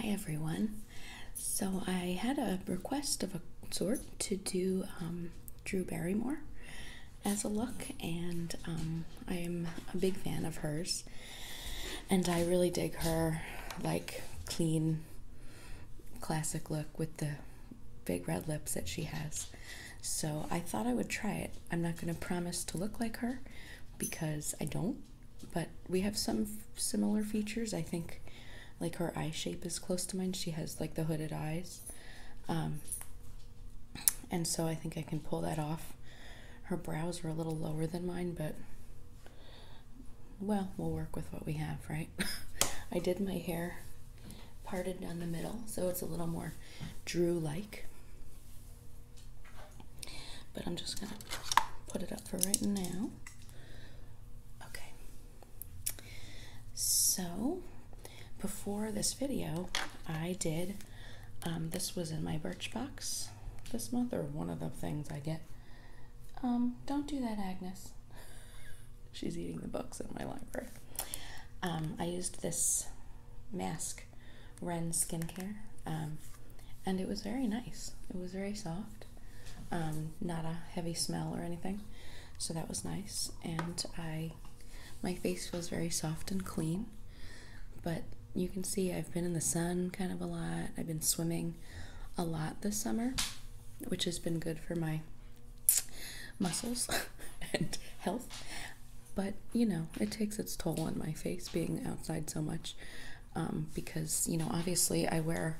Hi everyone. So I had a request of a sort to do um, Drew Barrymore as a look, and um, I am a big fan of hers, and I really dig her like clean classic look with the big red lips that she has. So I thought I would try it. I'm not going to promise to look like her because I don't, but we have some similar features. I think like her eye shape is close to mine. She has like the hooded eyes. Um, and so I think I can pull that off. Her brows are a little lower than mine, but well, we'll work with what we have, right? I did my hair parted down the middle, so it's a little more Drew like. But I'm just gonna put it up for right now. Okay. So, before this video, I did. Um, this was in my Birchbox this month, or one of the things I get. Um, don't do that, Agnes. She's eating the books in my library. Um, I used this mask Ren skincare, um, and it was very nice. It was very soft, um, not a heavy smell or anything, so that was nice. And I, my face feels very soft and clean, but you can see I've been in the sun kind of a lot. I've been swimming a lot this summer, which has been good for my muscles and health. But you know, it takes its toll on my face being outside so much um, because you know obviously I wear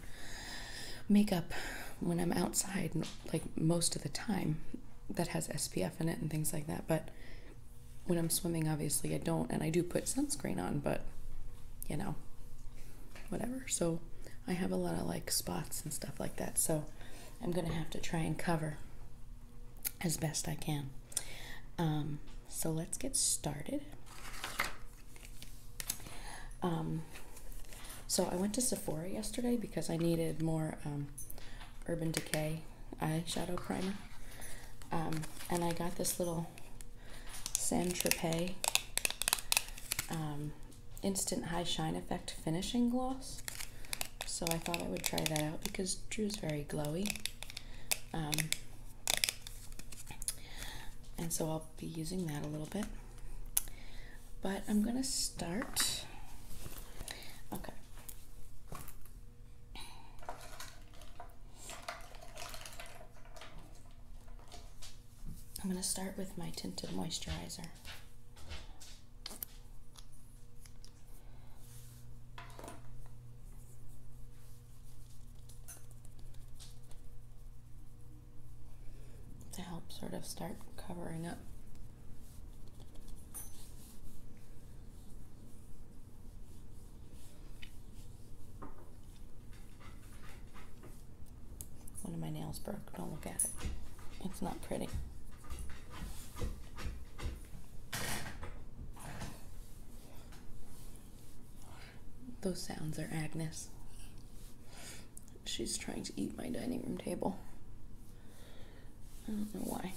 makeup when I'm outside like most of the time that has SPF in it and things like that but when I'm swimming obviously I don't and I do put sunscreen on but you know whatever so I have a lot of like spots and stuff like that so I'm gonna have to try and cover as best I can um, so let's get started. Um, so I went to Sephora yesterday because I needed more um, Urban Decay eyeshadow primer. and I got this little San Tropez Instant High Shine Effect Finishing Gloss. So I thought I would try that out because Drew's very glowy. And so I'll be using that a little bit. But I'm going to start. Okay. I'm going to start with my tinted moisturizer to help sort of start covering up. One of my nails broke. Don't look at it. It's not pretty. Those sounds are Agnes. She's trying to eat my dining room table. I don't know why.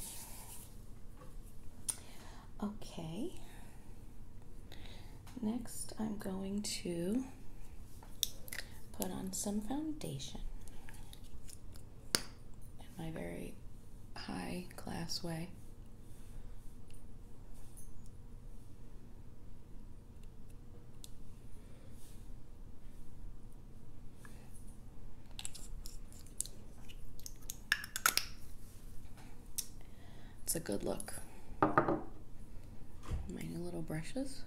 Okay. Next, I'm going to put on some foundation in my very high class way. It's a good look. My little brushes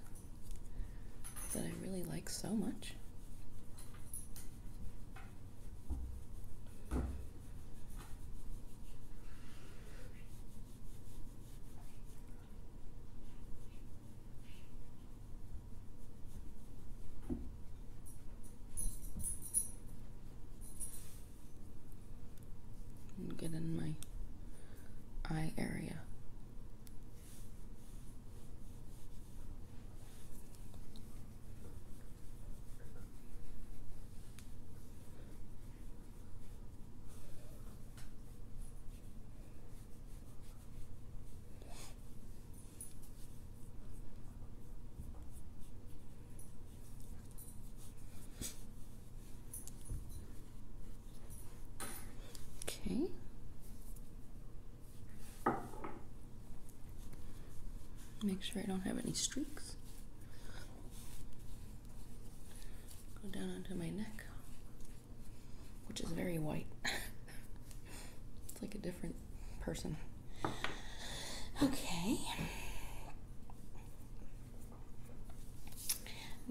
that I really like so much get in my eye area. Okay. Make sure I don't have any streaks. Go down onto my neck, which is very white. it's like a different person. Okay.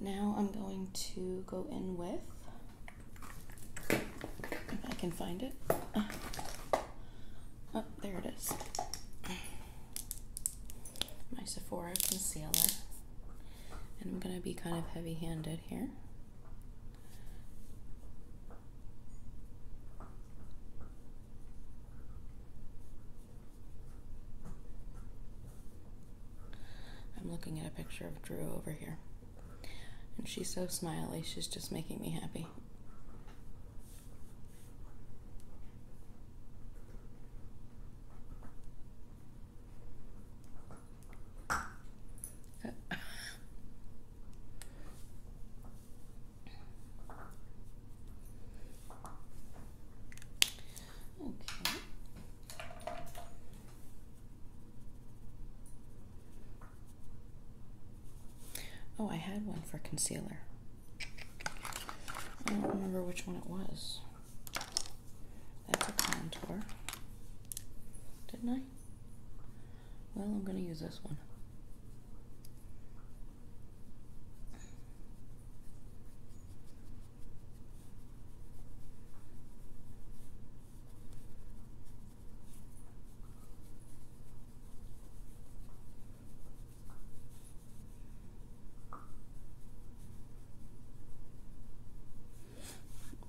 Now I'm going to go in with, if I can find it. Ah. Oh, there it is my Sephora concealer. And I'm going to be kind of heavy handed here. I'm looking at a picture of Drew over here. And she's so smiley, she's just making me happy. Oh, I had one for concealer. I don't remember which one it was. That's a contour. Didn't I? Well, I'm going to use this one.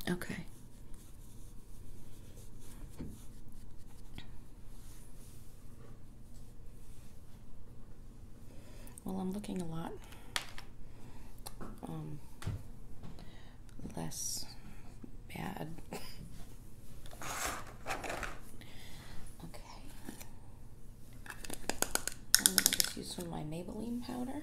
Okay. Well, I'm looking a lot um, less bad. Okay. I'm going to just use some of my Maybelline powder.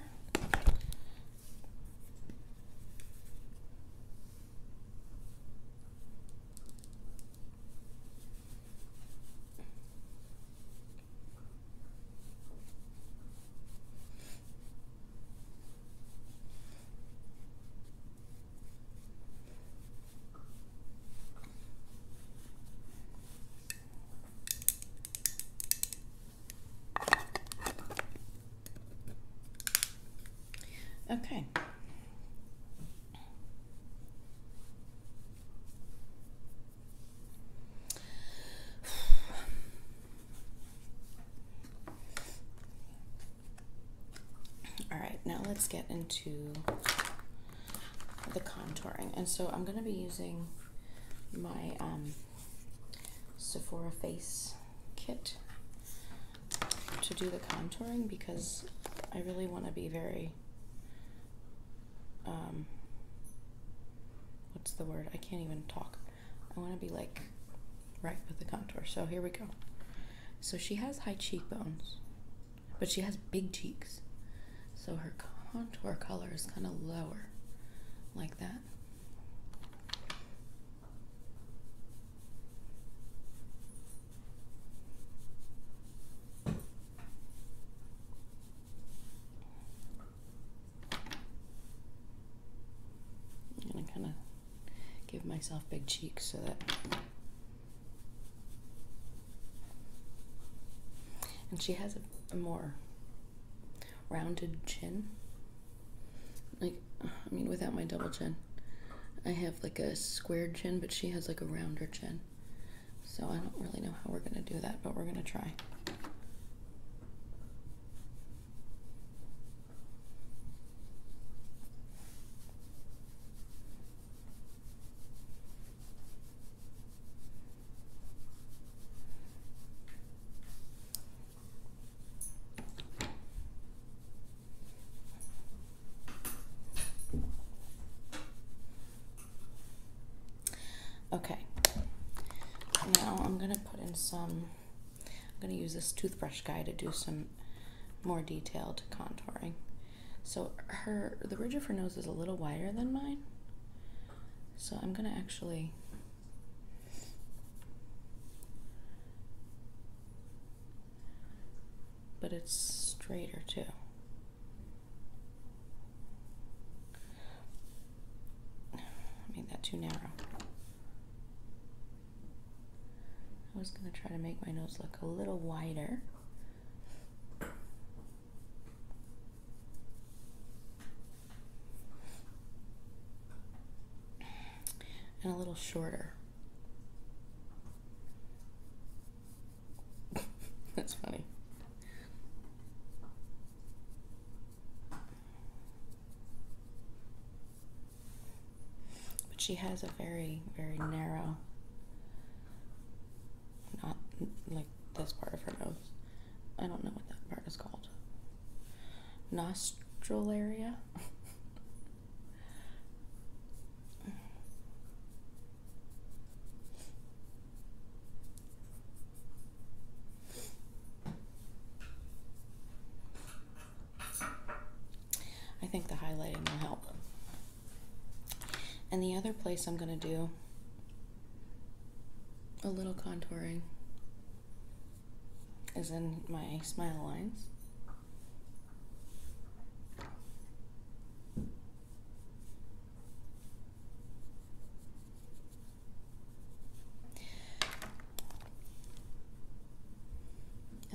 Okay. All right, now let's get into the contouring. And so I'm going to be using my um, Sephora Face Kit to do the contouring because I really want to be very, um, what's the word? I can't even talk. I want to be like right with the contour. So here we go. So she has high cheekbones but she has big cheeks, so her contour color is kind of lower, like that. I'm gonna kind of give myself big cheeks so that and she has a, more rounded chin. Like, I mean, without my double chin, I have like a squared chin, but she has like a rounder chin. So I don't really know how we're going to do that, but we're going to try. Okay, now I'm gonna put in some, I'm gonna use this toothbrush guy to do some more detailed contouring. So her the ridge of her nose is a little wider than mine. So I'm gonna actually but it's straighter too. I made that too narrow. I was gonna try to make my nose look a little wider and a little shorter. That's funny. But she has a very, very narrow not like this part of her nose. I don't know what that part is called. Nostril area. I think the highlighting will help. And the other place I'm going to do a little contouring is in my smile lines. And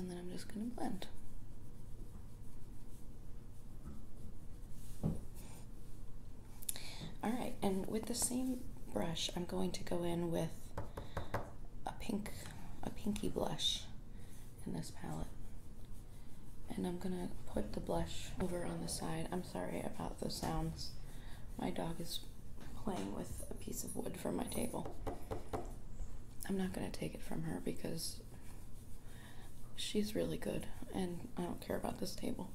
then I'm just going to blend. All right, and with the same brush, I'm going to go in with a pink, a pinky blush in this palette. And I'm gonna put the blush over on the side. I'm sorry about the sounds. My dog is playing with a piece of wood from my table. I'm not gonna take it from her because She's really good, and I don't care about this table.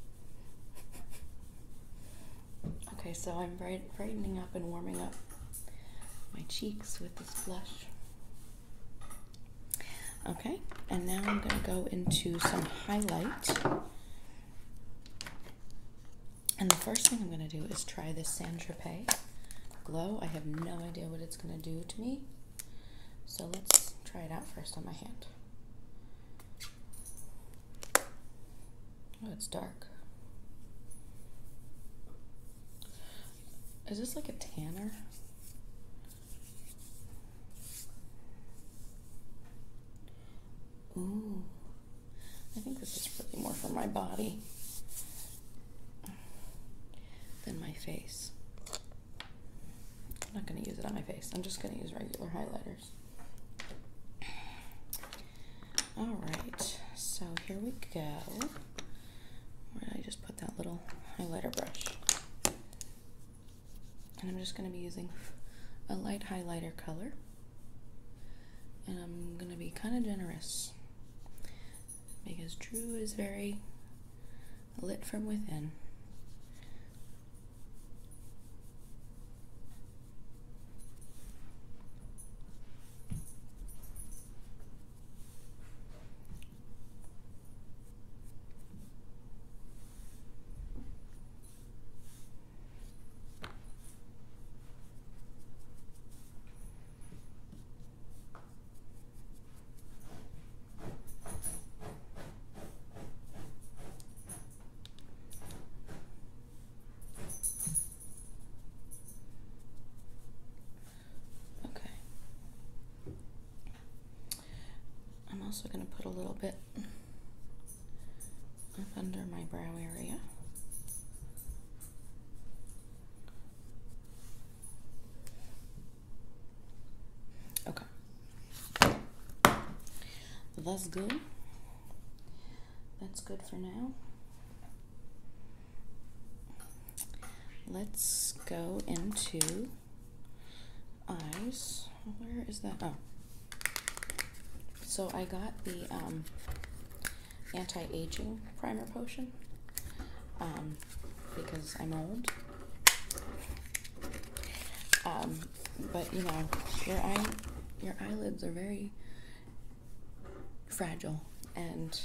okay, so I'm brightening up and warming up my cheeks with this blush. Okay, and now I'm going to go into some highlight. And the first thing I'm going to do is try this Saint Tropez Glow. I have no idea what it's going to do to me. So let's try it out first on my hand. Oh, it's dark. Is this like a tanner? Ooh. I think this is really more for my body than my face. I'm not going to use it on my face. I'm just going to use regular highlighters. All right, so here we go. I just put that little highlighter brush? And I'm just going to be using a light highlighter color. And I'm going to be kind of generous because Drew is very lit from within. Okay. I'm also going to put a little bit up under my brow area. Okay. That's good. That's good for now. Let's go into eyes. Where is that? Oh. So I got the um, anti-aging primer potion um, because I'm old um, but you know, your eyelids are very fragile, and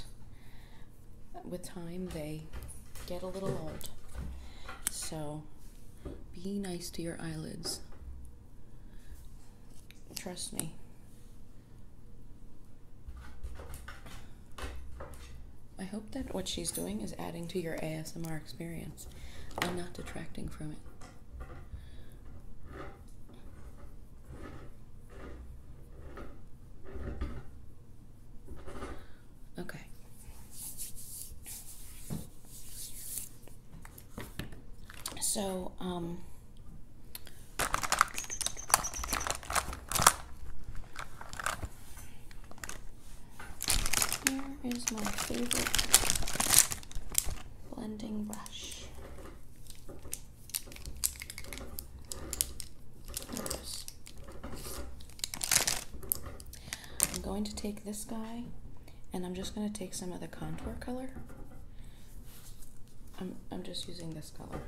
with time they get a little old. So be nice to your eyelids. Trust me. I hope that what she's doing is adding to your ASMR experience and not detracting from it. Okay. So, um, here is my favorite blending brush. I'm going to take this guy and I'm just going to take some of the contour color. I'm, I'm just using this color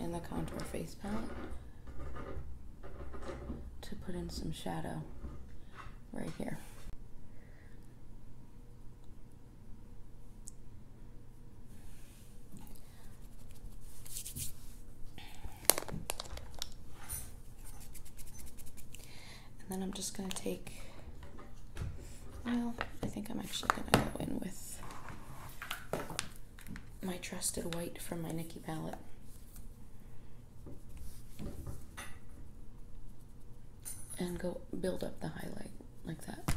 in the contour face palette to put in some shadow right here. And then I'm just going to take, well, I think I'm actually going to go in with my trusted white from my Nikki palette. And go build up the highlight like that.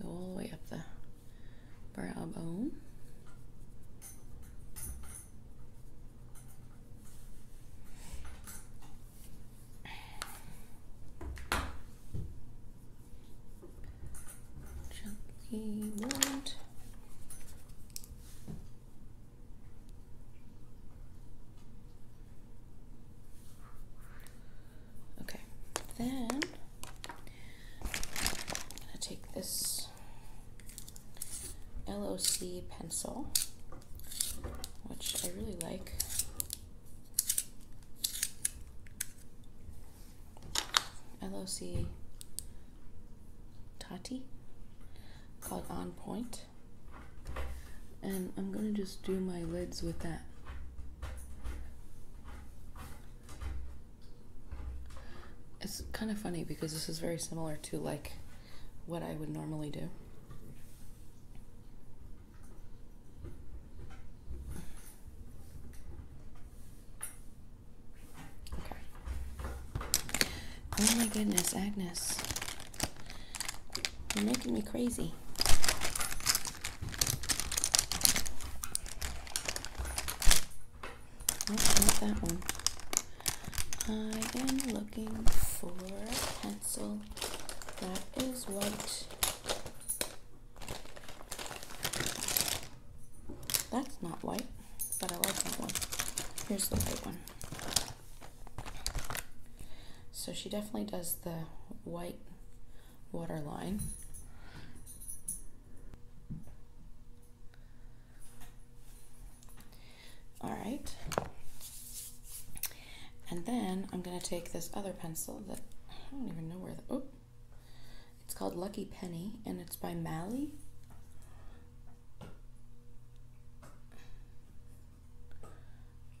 Go all the way up the brow bone. Gently wound. Okay, then I'm gonna take this LOC pencil, which I really like. LOC Tati called On And I'm going to just do my lids with that. It's kind of funny because this is very similar to like what I would normally do. Oh my goodness, Agnes. You're making me crazy. not oh, that one. I am looking for a pencil that is white. That's not white, but I like that one. Here's the white one. So she definitely does the white waterline. All right. And then I'm going to take this other pencil that I don't even know where the, oh, it's called Lucky Penny and it's by Mally.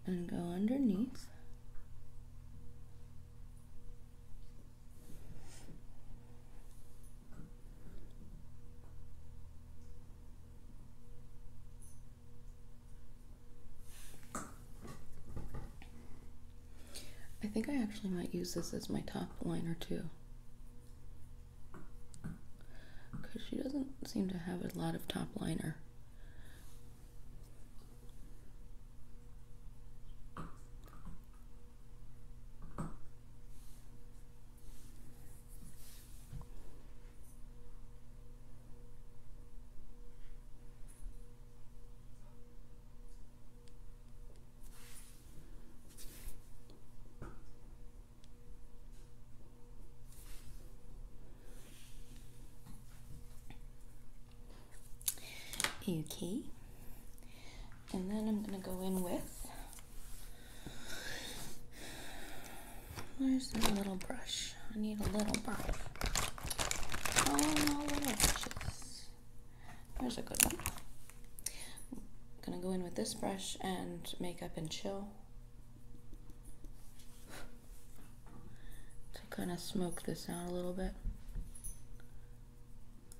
And go underneath. I think I actually might use this as my top liner too. Because she doesn't seem to have a lot of top liner. Okay. And then I'm going to go in with, where's my little brush? I need a little brush. Oh, no little brushes. There's a good one. I'm gonna go in with this brush and make up and chill. to kind of smoke this out a little bit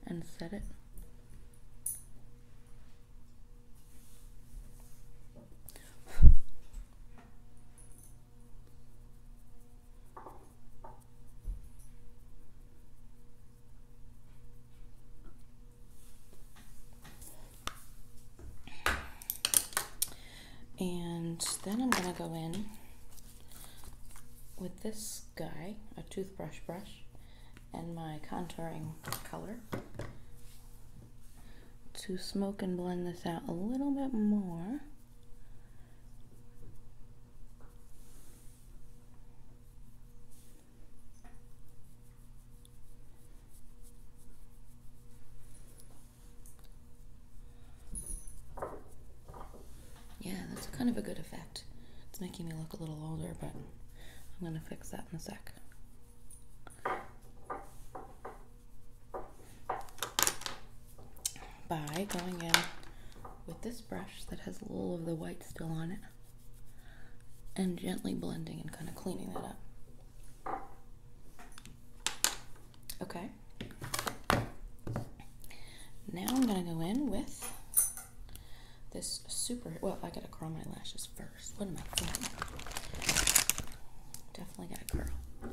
and set it. And then I'm going to go in with this guy, a toothbrush brush, and my contouring color to smoke and blend this out a little bit more. Yeah, that's kind of a good effect. It's making me look a little older, but I'm going to fix that in a sec by going in with this brush that has a little of the white still on it and gently blending and kind of cleaning that up. Okay. Now I'm going to go in with this super, well, I got to curl my lashes first. What am I doing? Definitely got to curl.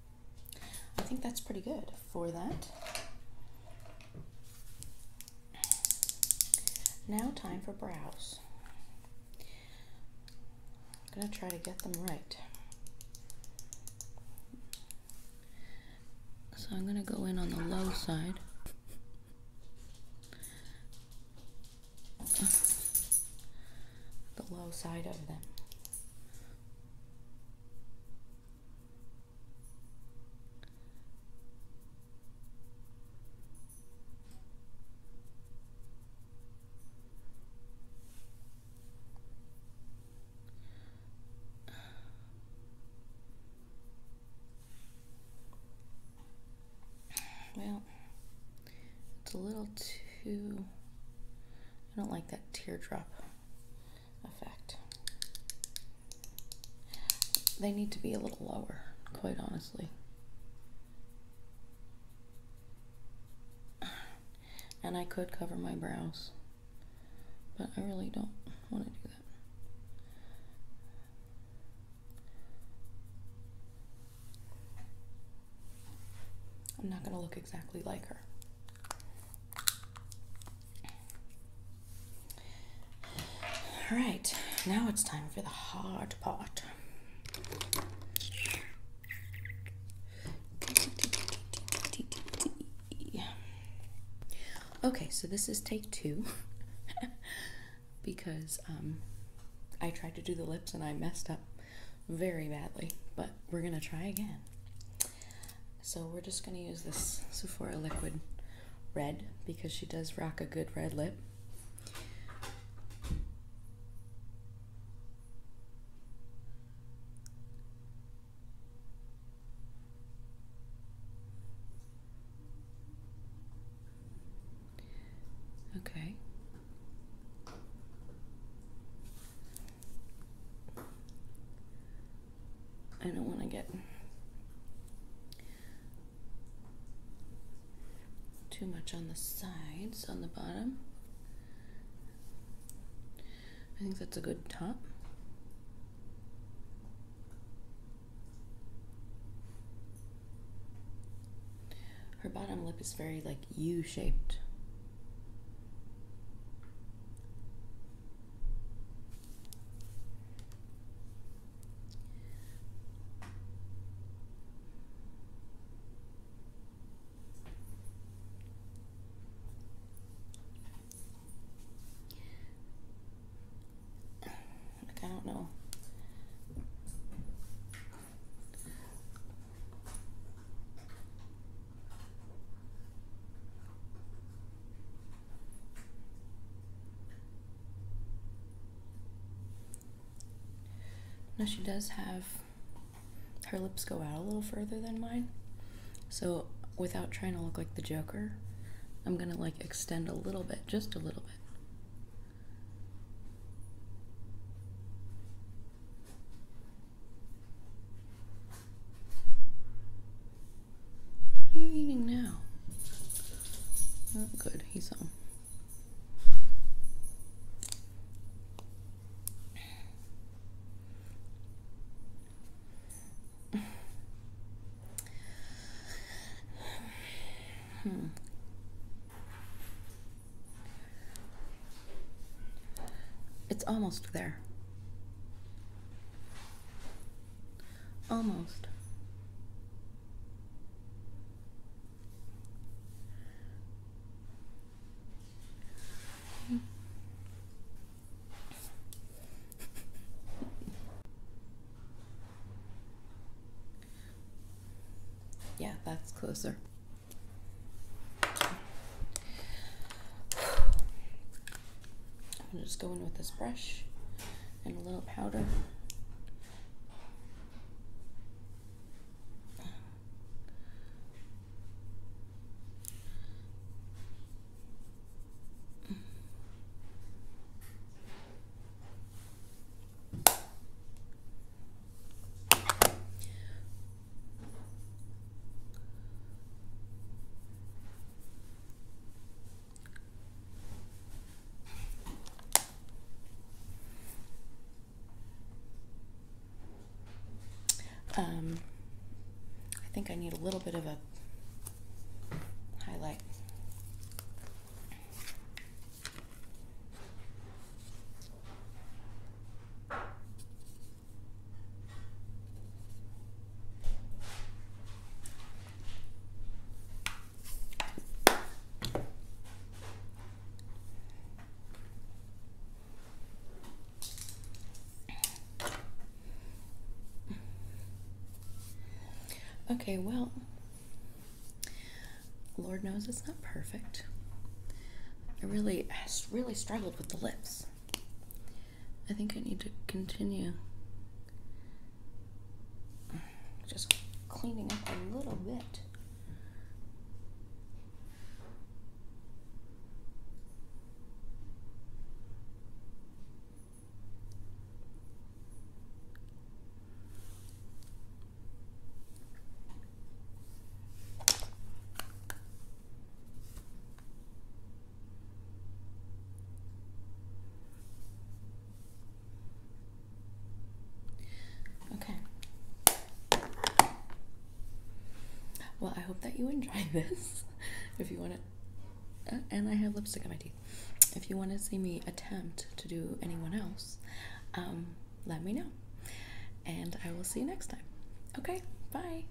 I think that's pretty good for that. Now time for brows. I'm going to try to get them right. So I'm going to go in on the low side. the low side of them. Well, it's a little too. I don't like that teardrop effect. They need to be a little lower, quite honestly. And I could cover my brows, but I really don't want to do that. I'm not going to look exactly like her. All right, now it's time for the hard part. Okay, so this is take two because um, I tried to do the lips and I messed up very badly, but we're gonna try again. So we're just going to use this Sephora liquid red because she does rock a good red lip. Okay. I don't want to get too much on the sides, on the bottom. I think that's a good top. Her bottom lip is very like U-shaped. Like, I don't know. Now she does have her lips go out a little further than mine. So without trying to look like the Joker, I'm gonna like extend a little bit, just a little bit. What are you eating now? Not good, he's on. Hmm. It's almost there. Almost. yeah, that's closer. I'm gonna just go in with this brush and a little powder. Um, I think I need a little bit of a highlight. Okay, well, Lord knows it's not perfect. I really, I really struggled with the lips. I think I need to continue. Just cleaning up a little bit. Okay. Well, I hope that you enjoyed this. If you want to, uh, and I have lipstick on my teeth. If you want to see me attempt to do anyone else, um, let me know. And I will see you next time. Okay, bye.